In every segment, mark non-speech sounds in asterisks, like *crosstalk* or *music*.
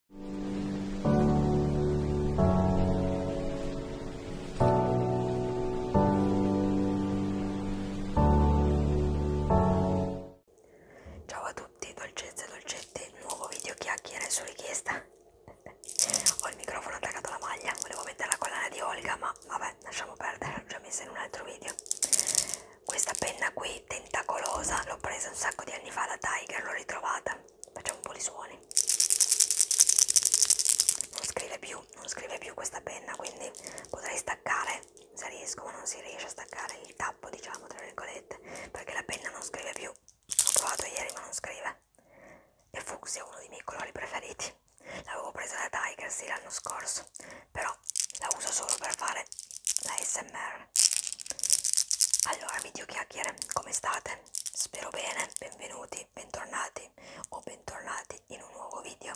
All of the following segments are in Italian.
Ciao a tutti, dolcezze e dolcetti, nuovo video chiacchiere su richiesta. *laughs* Ho il microfono attaccato alla maglia, volevo mettere la collana di Olga, ma vabbè, lasciamo perdere, l'ho già messa in un altro video. Questa penna qui, tentacolosa, l'ho presa un sacco di anni fa da Tiger, l'ho ritrovata facciamo un po' di suoni non scrive più non scrive più questa penna quindi potrei staccare se riesco ma non si riesce a staccare il tappo diciamo tra virgolette perché la penna non scrive più l'ho provato ieri ma non scrive e fucsia è uno dei miei colori preferiti l'avevo presa da Tiger sì l'anno scorso però la uso solo per fare la smr chiacchiere allora video chiacchiere come state? spero bene benvenuti bentornati o bentornati in un nuovo video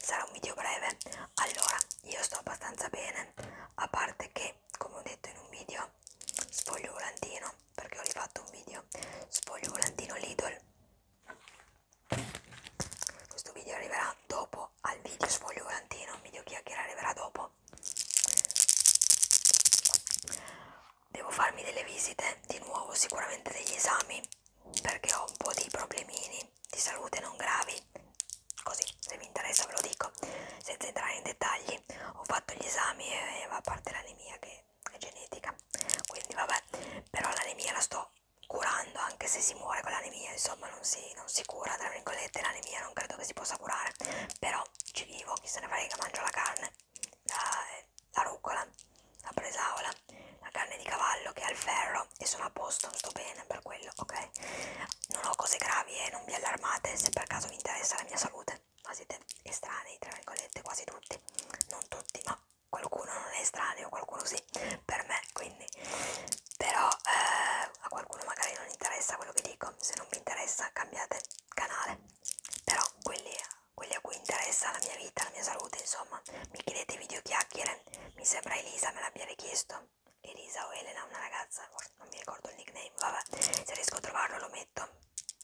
sarà un video breve allora io sto abbastanza bene a parte che come ho detto in un video sfoglio volantino perché ho rifatto un video sfoglio volantino Lidl questo video arriverà dopo al video sfoglio volantino video chiacchiere arriverà dopo Devo farmi delle visite di nuovo, sicuramente degli esami, perché ho un po' di problemini di salute non gravi. Così, se vi interessa ve lo dico, senza entrare in dettagli. Ho fatto gli esami e va a parte l'anemia che è genetica. Quindi vabbè, però l'anemia la sto curando anche se si muore con l'anemia, insomma non si, non si cura, tra virgolette l'anemia non credo che si possa curare, però no, ci vivo, chi se ne frega, mangio la carne, la, la rucola, la bresaola, la carne di cavallo che ha il ferro e sono a posto, sto bene per quello, ok? Non ho cose gravi e non vi allarmate se per caso vi interessa la mia salute, ma siete estranei, tra virgolette, quasi tutti, non tutti, ma qualcuno non è estraneo, qualcuno sì, per me, quindi, però eh, a qualcuno magari non interessa quello che dico, se non vi interessa cambiate canale però quelli, quelli a cui interessa la mia vita, la mia salute insomma mi chiedete video chiacchiere mi sembra Elisa me l'abbia richiesto Elisa o Elena, una ragazza non mi ricordo il nickname, vabbè se riesco a trovarlo lo metto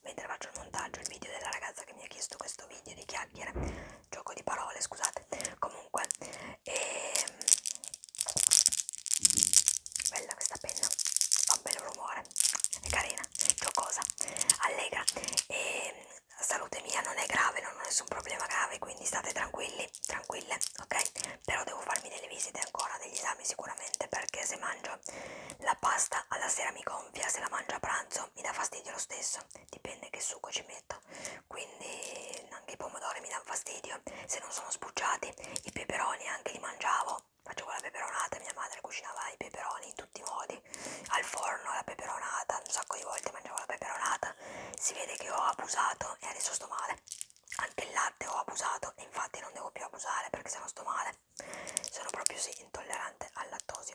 mentre faccio il montaggio il video della ragazza che mi ha chiesto questo video di chiacchiere gioco di parole scusate comunque e... Ehm, bella questa penna fa un bel rumore è carina, giocosa, allegra e salute mia non è grave, non ho nessun problema grave, quindi state tranquilli, tranquille, ok? Però devo farmi delle visite ancora, degli esami sicuramente, perché se mangio la pasta alla sera mi gonfia, se la mangio a pranzo mi dà fastidio lo stesso, dipende che succo ci metto, quindi anche i pomodori mi danno fastidio, se non sono spucciati, i peperoni anche li mangiavo, facevo la peperonata, mia madre cucinava i peperoni in tutti i modi, al forno, la peperonata, un sacco di volte mangiavo la peperonata, si vede che ho abusato e adesso sto male, anche il latte ho abusato e infatti non devo più abusare perché sennò sto male, sono proprio sì intollerante al lattosio,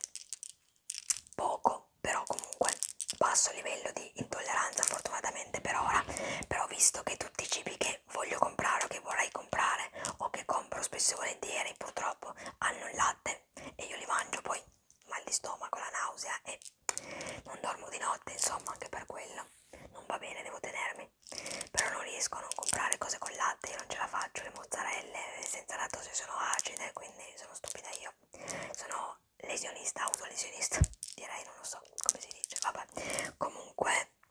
poco però comunque basso livello di intolleranza fortunatamente per ora, però visto che tutti i cibi che che voglio comprare o che vorrei comprare o che compro spesso e volentieri purtroppo hanno il latte e io li mangio poi mal di stomaco, la nausea e non dormo di notte insomma anche per quello non va bene, devo tenermi però non riesco a non comprare cose con latte io non ce la faccio, le mozzarelle eh, senza lattosio sono acide quindi sono stupida io sono lesionista, autolesionista direi, non lo so come si dice, vabbè comunque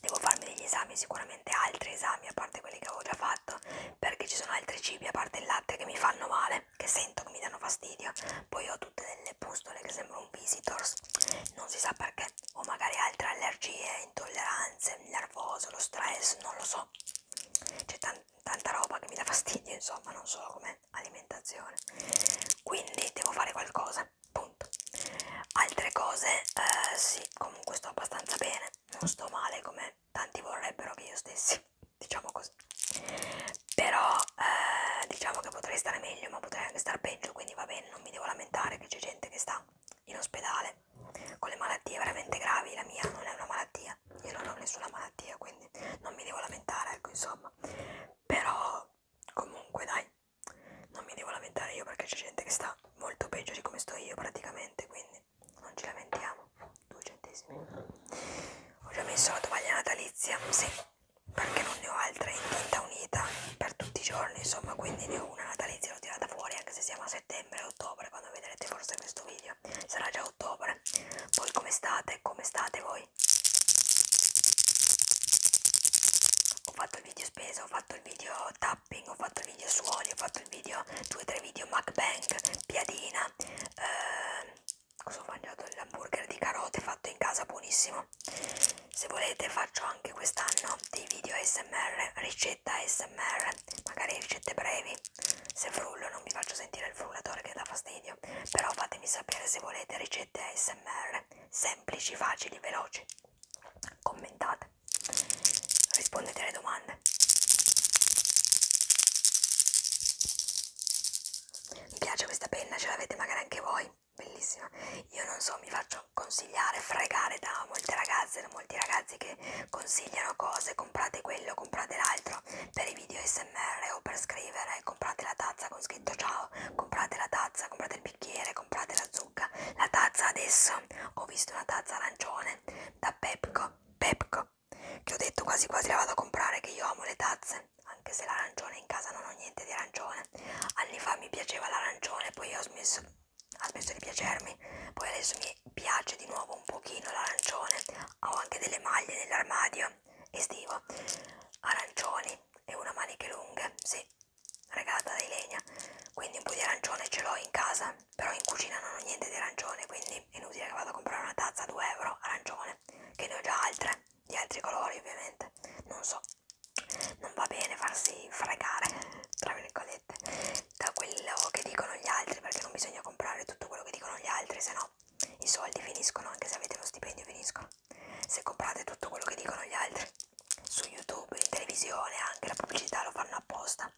devo farmi degli esami, sicuramente altri esami a parte quelli che avevo già fatto, perché ci sono altri cibi a parte il latte che mi fanno male, che sento che mi danno fastidio. Poi ho tutte delle pustole che sembrano un visitors, non si sa perché, o magari altre allergie, intolleranze, il nervoso, lo stress, non lo so. C'è tan tanta roba che mi dà fastidio, insomma, non solo come alimentazione. Quindi devo fare qualcosa punto altre cose eh, sì comunque sto abbastanza bene non sto male come tanti vorrebbero che io stessi *laughs* diciamo così però eh, diciamo che potrei stare meglio ma potrei anche star peggio quindi va bene non mi devo lamentare che c'è gente che sta in ospedale con le malattie veramente gravi la mia non è una malattia io non ho nessuna malattia quindi non mi devo lamentare ecco insomma però comunque dai non mi devo lamentare io perché c'è gente che sta molto peggio di come sto io praticamente, quindi non ci lamentiamo. Due centesimi. Ho già messo la tovaglia natalizia, sì, perché non ne ho altre in tinta unita per tutti i giorni, insomma, quindi ne ho una natalizia, l'ho tirata fuori anche se siamo a settembre, ottobre, quando vedrete forse questo video sarà già ottobre. Voi come state? Come state voi? Ho fatto il video speso, ho fatto il video tapping, ho fatto il video suoni, ho fatto il video, due o tre video MacBank, piadina, eh, cosa ho mangiato? L'hamburger di carote fatto in casa, buonissimo. Se volete faccio anche quest'anno dei video ASMR, ricetta ASMR, magari ricette brevi, se frullo non vi faccio sentire il frullatore che dà fastidio, però fatemi sapere se volete ricette ASMR, semplici, facili, veloci, commentate rispondete alle domande. Mi piace questa penna, ce l'avete magari anche voi, bellissima. Io non so, mi faccio consigliare, fregare da molte ragazze, da molti ragazzi che consigliano cose, comprate quello, comprate l'altro, per i video smr o per scrivere, comprate la tazza con scritto ciao, comprate la tazza, comprate il bicchiere, comprate la zucca. La tazza adesso, ho visto una tazza arancione da Pepco, Pepco, che ho detto quasi quasi la vado a comprare, che io amo le tazze, anche se l'arancione in casa non ho niente di arancione. Anni fa mi piaceva l'arancione, poi ho smesso, ha smesso di piacermi, poi adesso mi piace di nuovo un pochino l'arancione. Ho anche delle maglie nell'armadio estivo, arancioni e una maniche lunghe, sì regata di legna quindi un po' di arancione ce l'ho in casa però in cucina non ho niente di arancione quindi è inutile che vado a comprare una tazza a 2 euro arancione che ne ho già altre di altri colori ovviamente non so non va bene farsi fregare *laughs* tra virgolette da quello che dicono gli altri perché non bisogna comprare tutto quello che dicono gli altri se no i soldi finiscono anche se avete lo stipendio finiscono se comprate tutto quello che dicono gli altri su YouTube, in televisione, anche la pubblicità lo fanno apposta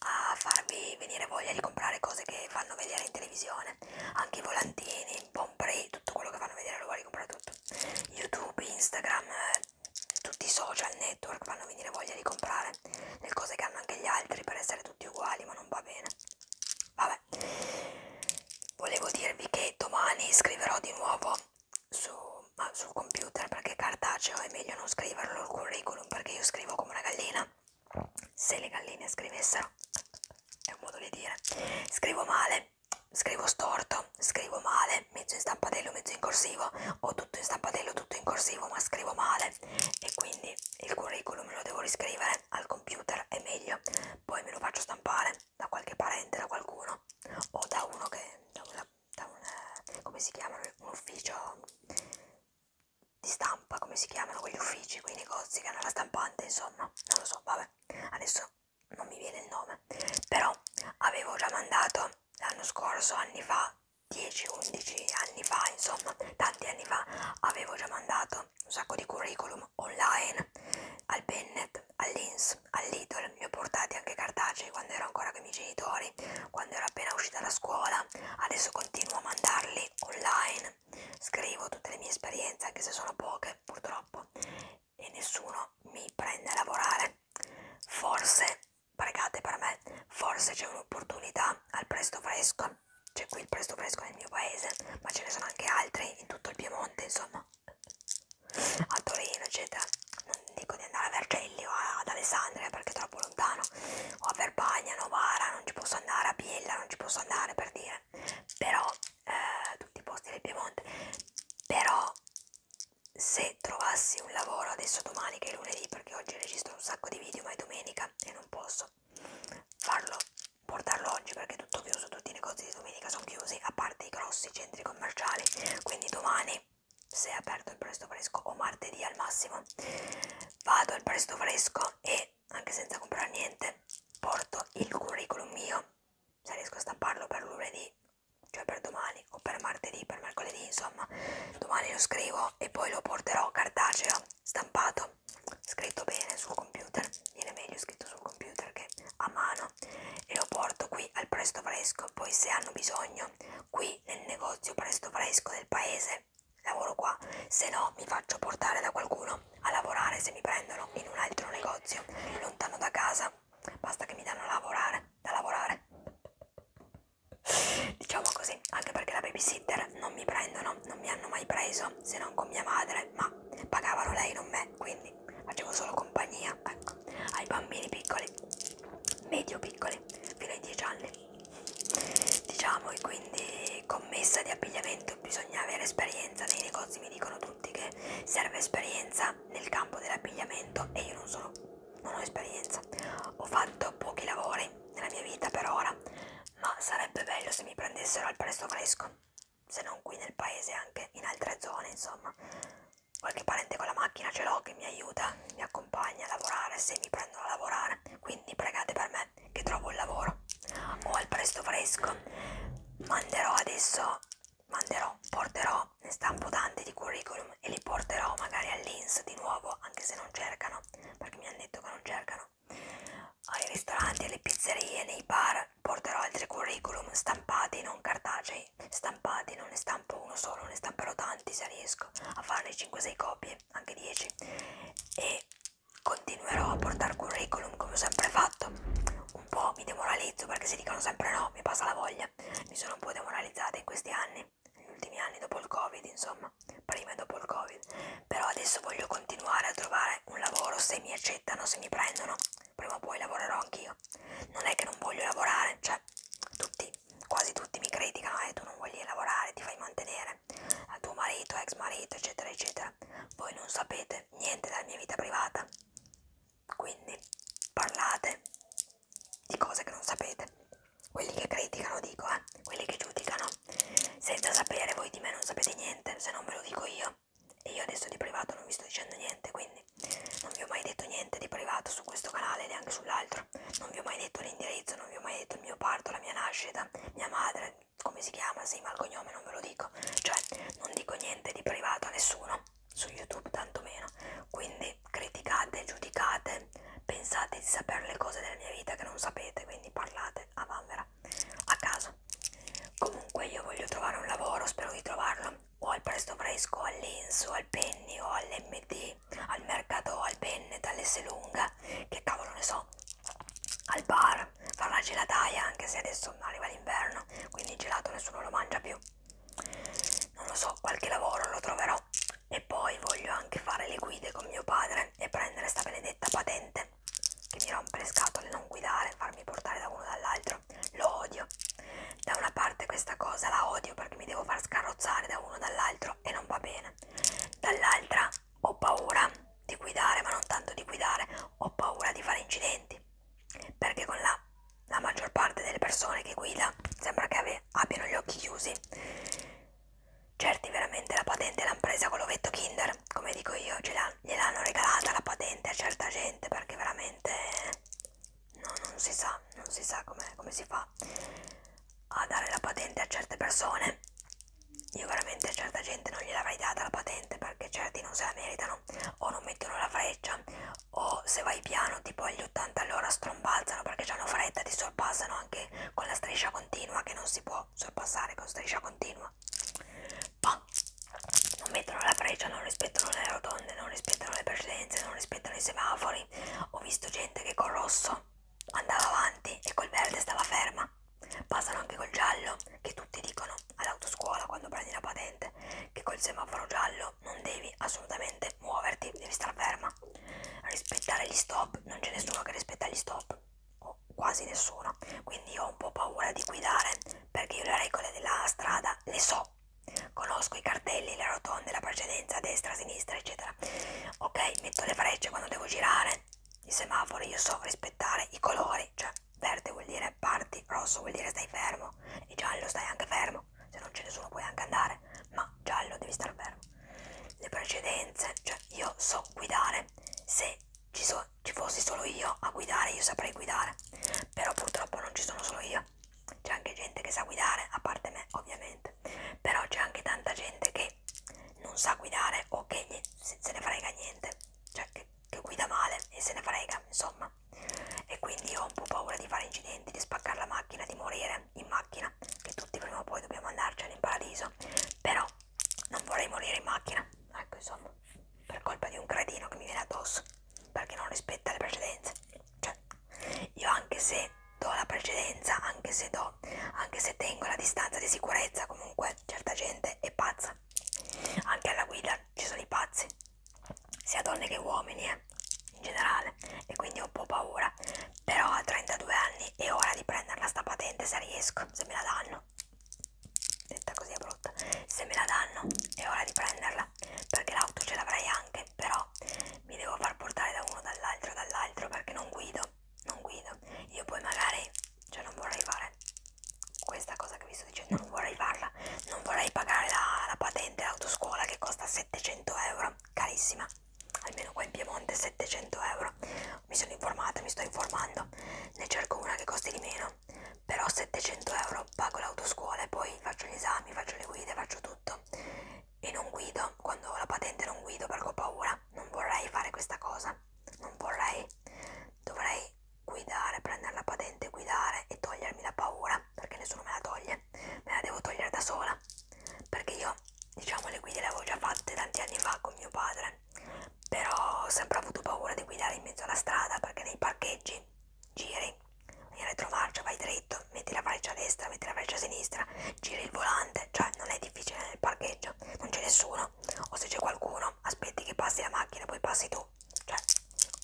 a farvi venire voglia di comprare cose che fanno vedere in televisione, anche i volantini, Pomprey, tutto quello che fanno vedere lo vuoi comprare tutto. YouTube, Instagram, eh, tutti i social network fanno venire voglia di comprare le cose che hanno anche gli altri per essere tutti uguali, ma non va bene. Vabbè, volevo dirvi che domani scriverò di nuovo su, ma sul computer perché cartaceo è meglio non scriverlo il curriculum perché io scrivo come una gallina se le galline scrivessero è un modo di dire scrivo male scrivo storto scrivo male mezzo in stampatello mezzo in corsivo o tutto in stampatello tutto in corsivo ma scrivo male e quindi il curriculum lo devo riscrivere al computer è meglio poi me lo faccio stampare da qualche parente da qualcuno o da uno che da una, da un, eh, come si chiamano, un ufficio di stampa, come si chiamano quegli uffici, quei negozi che hanno la stampante, insomma, non lo so, vabbè, adesso non mi viene il nome, però avevo già mandato l'anno scorso, anni fa, 10-11 anni fa, insomma, tanti anni fa, avevo già mandato un sacco di curriculum online al Bennett, all'Inns Box, all'Idol, li ho portati anche cartacei quando ero ancora con i miei genitori, quando ero appena uscita da scuola, adesso continuo a mandarli online, scrivo tutte le mie esperienze, anche se sono poche purtroppo, e nessuno mi prende a lavorare. Forse, pregate per me, forse c'è un'opportunità al presto fresco, c'è qui il presto fresco nel mio paese, ma ce ne sono anche altri in tutto il Piemonte, insomma a Torino eccetera non dico di andare a Vercelli o ad Alessandria perché è troppo lontano o a Verbagna, Novara non ci posso andare, a Biella non ci posso andare per dire però eh, tutti i posti del Piemonte però se trovassi un lavoro adesso domani che è lunedì perché oggi registro un sacco di video ma è domenica e non posso farlo portarlo oggi perché è tutto chiuso tutti i negozi di domenica sono chiusi a parte i grossi centri commerciali quindi domani se è aperto il presto fresco o martedì al massimo vado al presto fresco e anche senza comprare niente porto il curriculum mio se riesco a stamparlo per lunedì cioè per domani o per martedì per mercoledì insomma domani lo scrivo e poi lo porterò cartaceo stampato scritto bene sul computer viene meglio scritto sul computer che a mano e lo porto qui al presto fresco poi se hanno bisogno cucina qui nel negozio presto fresco del paese lavoro qua se no mi faccio portare da qualcuno a lavorare se mi prendono in un altro negozio lontano da casa basta che mi danno a lavorare da lavorare *laughs* diciamo così anche perché la babysitter non mi prendono non mi hanno mai preso se non con mia madre ma pagavano lei non me quindi facevo solo compagnia ecco ai bambini piccoli medio piccoli fino ai 10 anni diciamo e quindi commessa di abbigliamento bisogna avere esperienza nei negozi mi dicono tutti che serve esperienza nel campo dell'abbigliamento e io non sono non ho esperienza ho fatto pochi lavori nella mia vita per ora ma sarebbe bello se mi prendessero al presto fresco se non qui nel paese anche in altre zone insomma qualche parente con la macchina ce l'ho che mi aiuta, mi accompagna a lavorare se mi prendono a lavorare, quindi pregate per me che trovo un lavoro o al presto fresco. Manderò adesso, manderò, porterò, ne stampo tanti di curriculum e li porterò magari all'Inns di nuovo, anche se non cercano, perché mi hanno detto che non cercano. Ai ristoranti, alle pizzerie, nei bar porterò altri curriculum stampati, non cartacei 5-6 stampati, non ne stampo uno solo, ne stamperò tanti se riesco a farne 5-6 copie, anche 10 e continuerò a portare curriculum come ho sempre fatto un po' mi demoralizzo perché si dicono sempre no, mi passa la voglia mi sono un po' demoralizzata in questi anni negli ultimi anni dopo il covid insomma prima e dopo il covid però adesso voglio continuare a trovare un lavoro se mi accettano, se mi prendono prima o poi lavorerò anch'io non è che non voglio lavorare, cioè tutti quasi tutti mi criticano, eh, tu non vuoi lavorare, ti fai mantenere, eh, tuo marito, ex marito, eccetera, eccetera. Voi non sapete niente della mia vita privata, quindi parlate di cose che non sapete. Quelli che criticano, dico, eh, quelli che giudicano, senza sapere voi di me non sapete niente, se non ve lo dico io. E io adesso di privato non vi sto dicendo niente, quindi non vi ho mai detto niente di privato su questo canale neanche sull'altro non vi ho mai detto l'indirizzo non vi ho mai detto il mio parto la mia nascita mia madre come si chiama sì ma il cognome non ve lo dico cioè non dico niente di privato a nessuno su youtube tantomeno quindi criticate giudicate pensate di sapere le cose della mia vita che non sapete quindi parlate a vanvera a caso comunque io voglio trovare un lavoro spero di trovarlo o al presto fresco, al Linzo, al Penny o all'MD, al mercato, al Penne, dall'S lunga, che cavolo ne so, al bar, fare una gelataia anche se adesso arriva l'inverno, quindi il gelato nessuno lo mangia più. Non lo so, qualche lavoro lo troverò. E poi voglio anche fare le guide con mio padre e prendere sta benedetta patente che mi rompe le scatole non guidare, farmi portare da uno dall'altro. Lo odio. Da una parte questa cosa la odio perché mi devo far scarrozzare da uno dall'altro e non va bene. Dall'altra ho paura di guidare, ma non tanto di guidare, ho paura di fare incidenti. Perché con la, la maggior parte delle persone che guida sembra che ave, abbiano gli occhi chiusi. Certi veramente la patente l'hanno presa con l'ovetto Kinder, come dico io, gliel'hanno regalata la patente a certa gente perché veramente no, non si sa, non si sa com come si fa a dare la patente a certe persone. Io veramente a certa gente non gliel'avrei data la patente perché certi non se la meritano o non mettono la freccia o se vai piano tipo agli 80 all'ora strombalzano perché hanno fretta, ti sorpassano anche con la striscia continua che non si può sorpassare con striscia continua. Bah. Non mettono la freccia, non rispettano le rotonde, non rispettano le precedenze, non rispettano i semafori, giorni ho visto gente che col rosso andava avanti e col verde stava ferma. Passano anche col giallo, che tutti dicono all'autoscuola quando prendi la patente, che col semaforo giallo non devi assolutamente muoverti, devi star ferma. Rispettare gli stop, non c'è nessuno che rispetta gli stop, o quasi nessuno. Quindi io ho un po' paura di guidare, perché io le regole della strada le so. Conosco i cartelli, le rotonde, la precedenza, destra, sinistra, eccetera. Ok, metto le frecce quando devo girare, i semafori, io so rispettare i colori, cioè verde vuol dire parti, rosso vuol dire stai fermo e giallo stai anche fermo, se non c'è nessuno puoi anche andare, ma giallo devi stare fermo. Le precedenze, cioè io so guidare, se ci, so, ci fossi solo io a guidare io saprei guidare, però purtroppo non ci sono solo io cioè c'è anche gente che sa guidare, a parte me ovviamente, però c'è anche tanta gente che non sa guidare o che gli, se, se ne frega niente, cioè che, che guida male e se ne frega, insomma. E quindi io ho un po' paura di fare incidenti, di spaccare la macchina, di morire in macchina, che tutti prima o poi dobbiamo andarcene in paradiso, però non vorrei morire in macchina, ecco insomma, per colpa di un cretino che mi viene addosso, perché non rispetta le precedenze, cioè io anche se do la precedenza, anche se do, anche se tengo la distanza di sicurezza, comunque certa gente è pazza. Anche alla guida ci sono i pazzi, sia donne che uomini, eh, in generale, e quindi ho un po' paura. Però a 32 anni è ora di prenderla sta patente se riesco, se me la danno. Detta così è brutta. Se me la danno è ora di prenderla, perché l'auto ce l'avrai anche, però mi devo far portare da uno, dall'altro, dall'altro perché non guido, non guido. Io poi magari, cioè non vorrei fare questa cosa che vi sto dicendo, non vorrei farla, non vorrei pagare la, la patente autoscuola che costa 700 euro, carissima, almeno qua in Piemonte 700 euro. Mi sono informata, mi sto informando, ne cerco una che costi di meno, però 700 euro pago l'autoscuola e poi faccio gli esami, faccio le guide, faccio tutto e non guido, quando ho la patente non guido perché ho paura, non vorrei fare questa cosa, non vorrei, dovrei guidare, prendere la patente, guidare e togliermi la paura, perché nessuno me la toglie, me la devo togliere da sola, perché io diciamo le guide le avevo già fatte tanti anni fa con mio padre, però ho sempre avuto paura di guidare in mezzo alla strada perché nei parcheggi giri in retromarcia vai dritto, metti la freccia a destra, metti la freccia a sinistra, giri il volante, cioè non è difficile nel parcheggio, non c'è nessuno, o se c'è qualcuno aspetti che passi la macchina, poi passi tu, cioè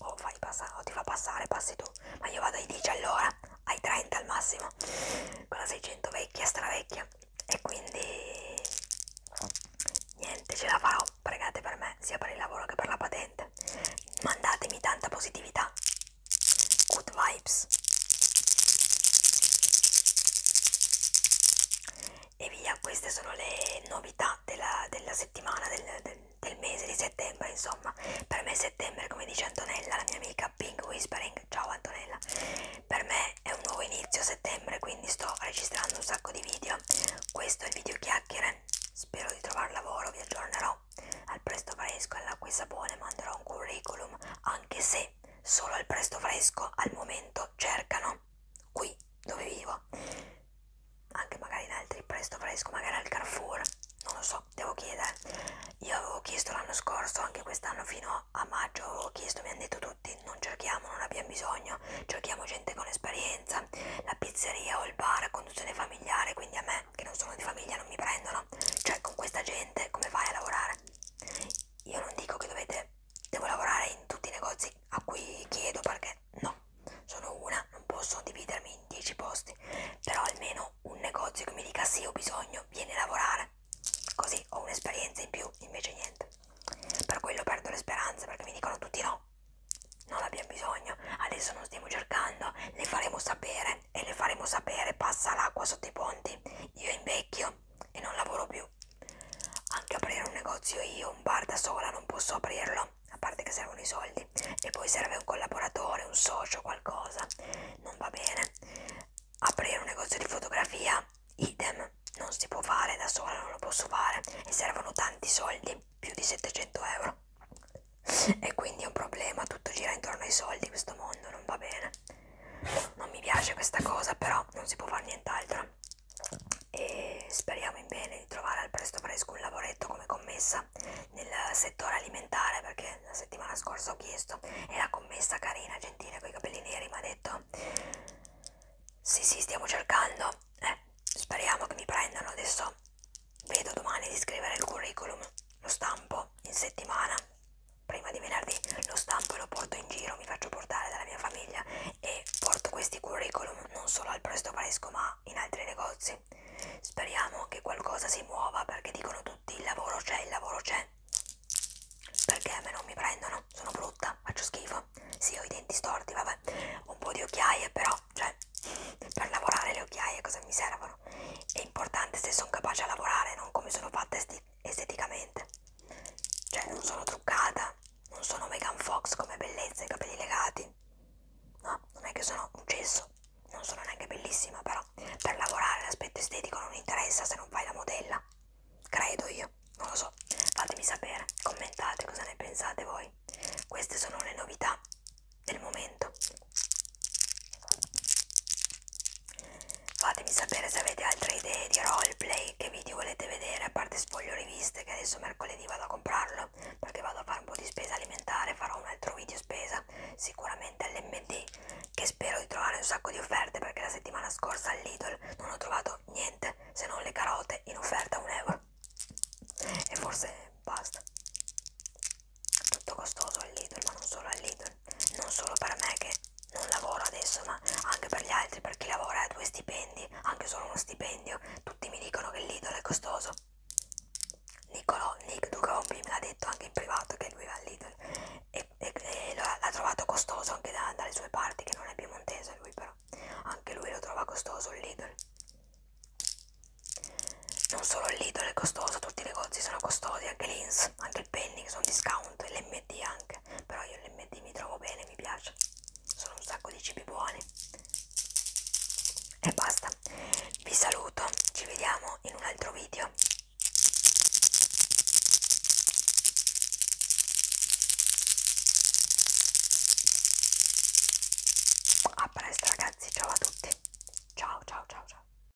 o, fai passare, o ti fa passare, passi tu, ma io vado ai 10 all'ora, ai 30 al massimo, con la 600 vecchia, stravecchia, e quindi niente, ce la farò, pregate per me, sia per il lavoro che per la patente, mandatemi tanta positività. Good vibes. E via, queste sono le novità della, della settimana, del, del, del mese di settembre, insomma. Per me settembre, come dice Antonella, la mia amica Pink Whispering, ciao Antonella, per me è un nuovo inizio settembre, quindi sto registrando un sacco di video. Questo è il video chiacchiere, spero di trovare lavoro, vi aggiornerò. Al presto fresco e all'acqua e sapone manderò un curriculum, anche se solo al presto fresco al momento cercano qui dove vivo. Anche magari in altri presto fresco, magari al Carrefour, non lo so, devo chiedere. Io avevo chiesto l'anno scorso, anche quest'anno fino a maggio avevo chiesto, mi hanno detto tutti non cerchiamo, non abbiamo bisogno, cerchiamo gente con esperienza, la pizzeria o il bar, conduzione familiare, quindi a me me, che non sono di famiglia, non mi prendono. Cioè, con questa gente come fai a lavorare? Io non dico che dovete, devo lavorare in tutti i negozi a cui chiedo perché no, sono una, non posso dividermi in 10 posti, però almeno un negozio che mi dica sì ho bisogno, vieni a lavorare, così ho un'esperienza in più, invece niente. Per quello perdo le speranze perché mi dicono tutti no, non abbiamo bisogno, adesso non stiamo cercando, le faremo sapere, bene e le faremo sapere passa l'acqua sotto i ponti io invecchio e non lavoro più anche aprire un negozio io un bar da sola non posso aprirlo a parte che servono i soldi e poi serve un collaboratore un socio qualcosa non va bene aprire un negozio di fotografia idem non si può fare da sola non lo posso fare e servono tanti soldi più di 700 euro e quindi è un problema, tutto gira intorno ai soldi, questo mondo non va bene. Non mi piace questa cosa, però non si può fare nient'altro. E speriamo in bene di trovare al presto fresco un lavoretto come commessa nel settore alimentare, perché la settimana scorsa ho chiesto e la commessa carina, gentile, con i capelli neri mi ha detto sì sì stiamo cercando, eh, speriamo che mi prendano adesso. Vedo domani di scrivere il curriculum, lo stampo in settimana prima di venerdì lo stampo e lo porto in giro, mi faccio portare dalla mia famiglia e porto questi curriculum non solo al Presto Fresco ma in altri negozi. Speriamo che qualcosa si muova perché dicono tutti il lavoro c'è, il lavoro c'è. Perché a me non mi prendono, sono brutta, faccio schifo. Sì, ho i denti storti, vabbè, un po' di occhiaie però, cioè, *laughs* per lavorare le occhiaie cosa mi servono? insomma è importante se sono capace a lavorare non come sono fatta esteticamente cioè non sono truccata non sono Megan Fox come bellezza i capelli legati no non è che sono un cesso non sono neanche bellissima però per lavorare l'aspetto estetico non interessa se non fai la modella credo io non lo so fatemi sapere commentate cosa ne pensate voi queste sono le novità del momento Fatemi sapere se avete altre idee di roleplay, che video volete vedere, a parte spoglio riviste che adesso mercoledì vado a comprarlo perché vado a fare un po' di spesa alimentare, farò un altro video spesa sicuramente all'MD che spero di trovare un sacco di offerte perché la settimana scorsa al Lidl non ho trovato niente se non le carote in offerta a un euro e forse basta tutto costoso al Lidl ma non solo al Lidl non solo per me che non lavoro adesso ma anche per gli altri per chi lavora ha due stipendi anche solo uno stipendio tutti mi dicono che il Lidl è costoso Nicolò Nick Ducompi me l'ha detto anche in privato che lui va al Lidl e, e, e l'ha trovato costoso anche da, dalle sue parti che non è piemontese lui però anche lui lo trova costoso il Lidl non solo il Lidl è costoso tutti i negozi sono costosi anche l'Inns anche altri penny che sono discount e l'MD anche però io l'MD mi trovo bene mi piace sono un sacco di cibi buoni e basta vi saluto ci vediamo in un altro video a presto ragazzi ciao a tutti ciao ciao ciao ciao